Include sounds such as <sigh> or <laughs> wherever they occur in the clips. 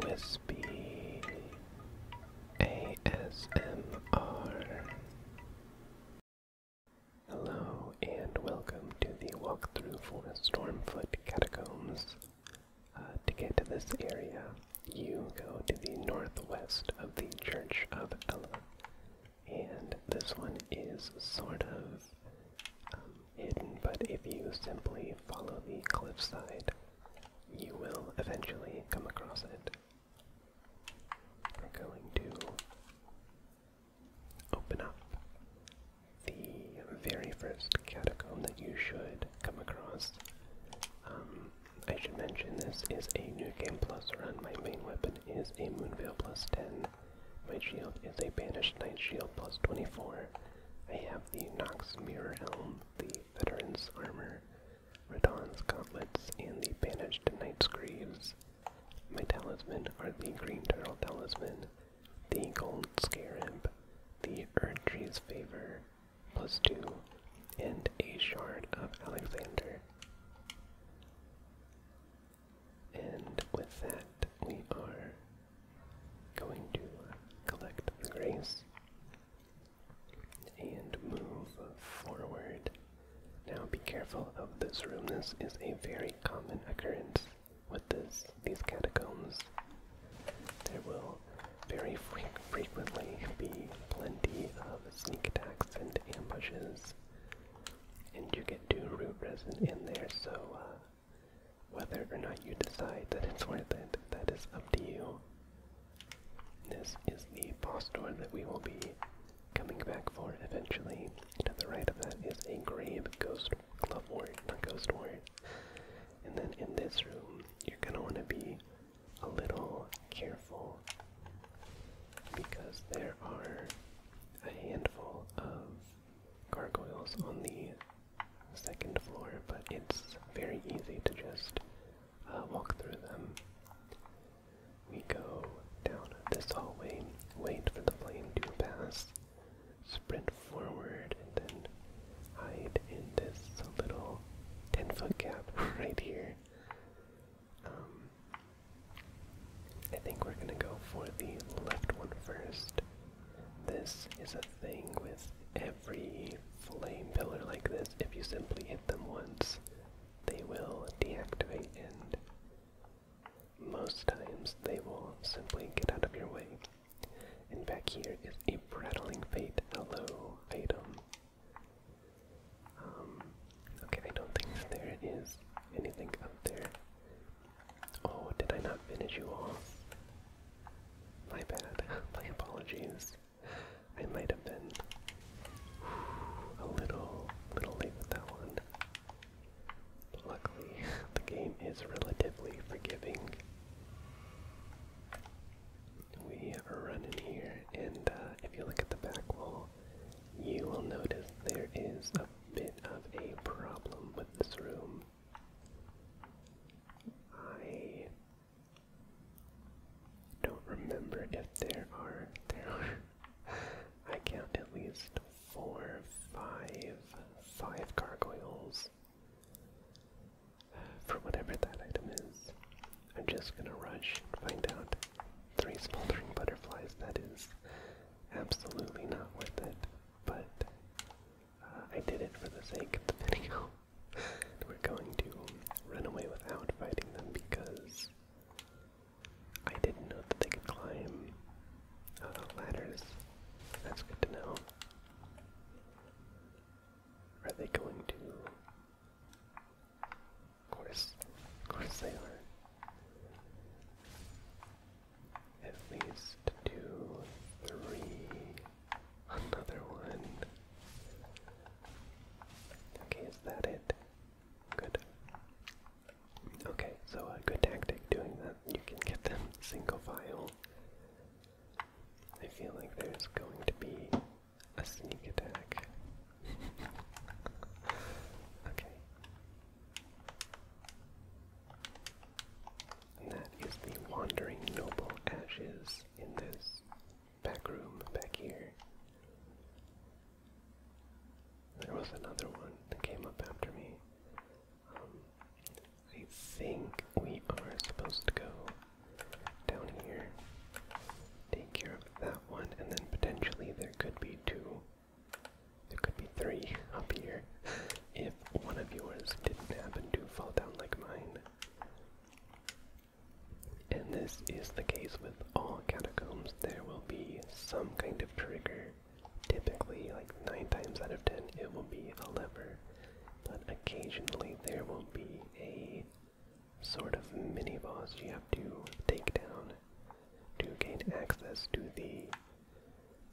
Whispy ASMR. Hello and welcome to the walkthrough for Stormfoot Catacombs. Uh, to get to this area, you go to the northwest of the Church of Ella, and this one is sort of um, hidden, but if you simply follow the cliffside, you will eventually come across it. We're going to open up the very first catacomb that you should come across. Um, I should mention this is a new game plus run. My main weapon is a Moonveil plus 10. My shield is a Banished Knight shield plus 24. I have the Nox Mirror Helm, the Veteran's Armor, Radon's Gauntlets, and the Bandaged Knight's Greaves. My talisman are the Green Turtle Talisman, the Gold Scarab, the Earth Tree's Favor, plus two, and a Shard of Alexander. And with that, we are going to collect the grace and move forward. Now be careful of this room. This is a very common occurrence with these catacombs. There will very frequently be plenty of sneak attacks and ambushes. And you get to root resin in there, so uh, whether or not you decide that it's worth it, that is up to you. This is the boss door that we will be coming back for eventually. To the right of that is a grave ghost glove ward, not ghost ward. And then in this room, you're gonna want to be a little careful because there are a handful of gargoyles on the second floor, but it's very easy to just uh, walk through them. We go down this hallway, wait for the flame to pass, sprint forward, and then hide in this little 10 foot gap <laughs> right here. Um, I think we're gonna go for the left one first. This is a thing with every flame pillar like this. If you simply hit them once, they will deactivate and most times they will simply get out of your way. And back here is a rattling Fate Hello item. Um, okay, I don't think there is anything up there. Oh, did I not finish you off? My bad. My apologies. I might have been a little, little late with that one. But luckily, the game is relatively forgiving. We run in here, and uh, if you look at the back wall, you will notice there is a bit of a problem with this room. I don't remember if there are there I count at least four, five, five gargoyles for whatever that item is. I'm just gonna rush and find out. Three smoldering butterflies, that is absolutely not worth it, but I did it for the sake of the video. <laughs> We're going to run away without fighting them because I didn't know that they could climb uh, ladders. That's good to know. Are they going to? Of course, of course they are. At least two, three, Another one. Okay, is that it? Good. Okay, so a good tactic doing that. You can get them single file. I feel like there's going to be a sneak attack. <laughs> okay. And that is the Wandering Noble Ashes in this back room back here. There was another one that came up after me. Um, I think we are supposed to go down here, take care of that one, and then potentially there could be two. There could be three <laughs> up here if one of yours didn't happen to fall down like mine. And this is the case with all catacombs. There will be some kind of trigger. Typically, like 9 times out of 10, it will be a lever. But occasionally, there will be a sort of mini boss you have to take down to gain access to the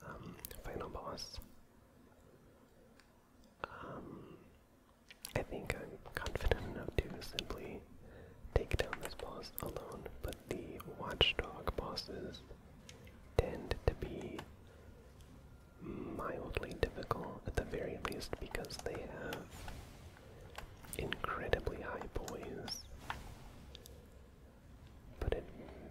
um, final boss. Um, I think I'm confident enough to simply take down those bosses alone, but the watchdog bosses tend to be mildly difficult at the very least because they have incredibly high poise. But it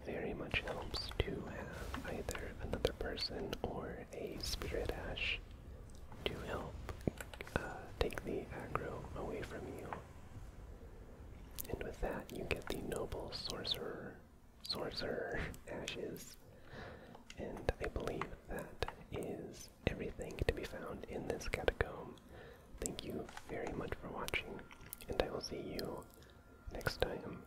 very much helps to have either another person or a Spirit Ash to help uh, take the aggro away from you. And with that, you get the Noble Sorcerer, Sorcerer Ashes. And I believe that is everything to be found in this catacomb. Thank you very much for watching, and I will see you next time.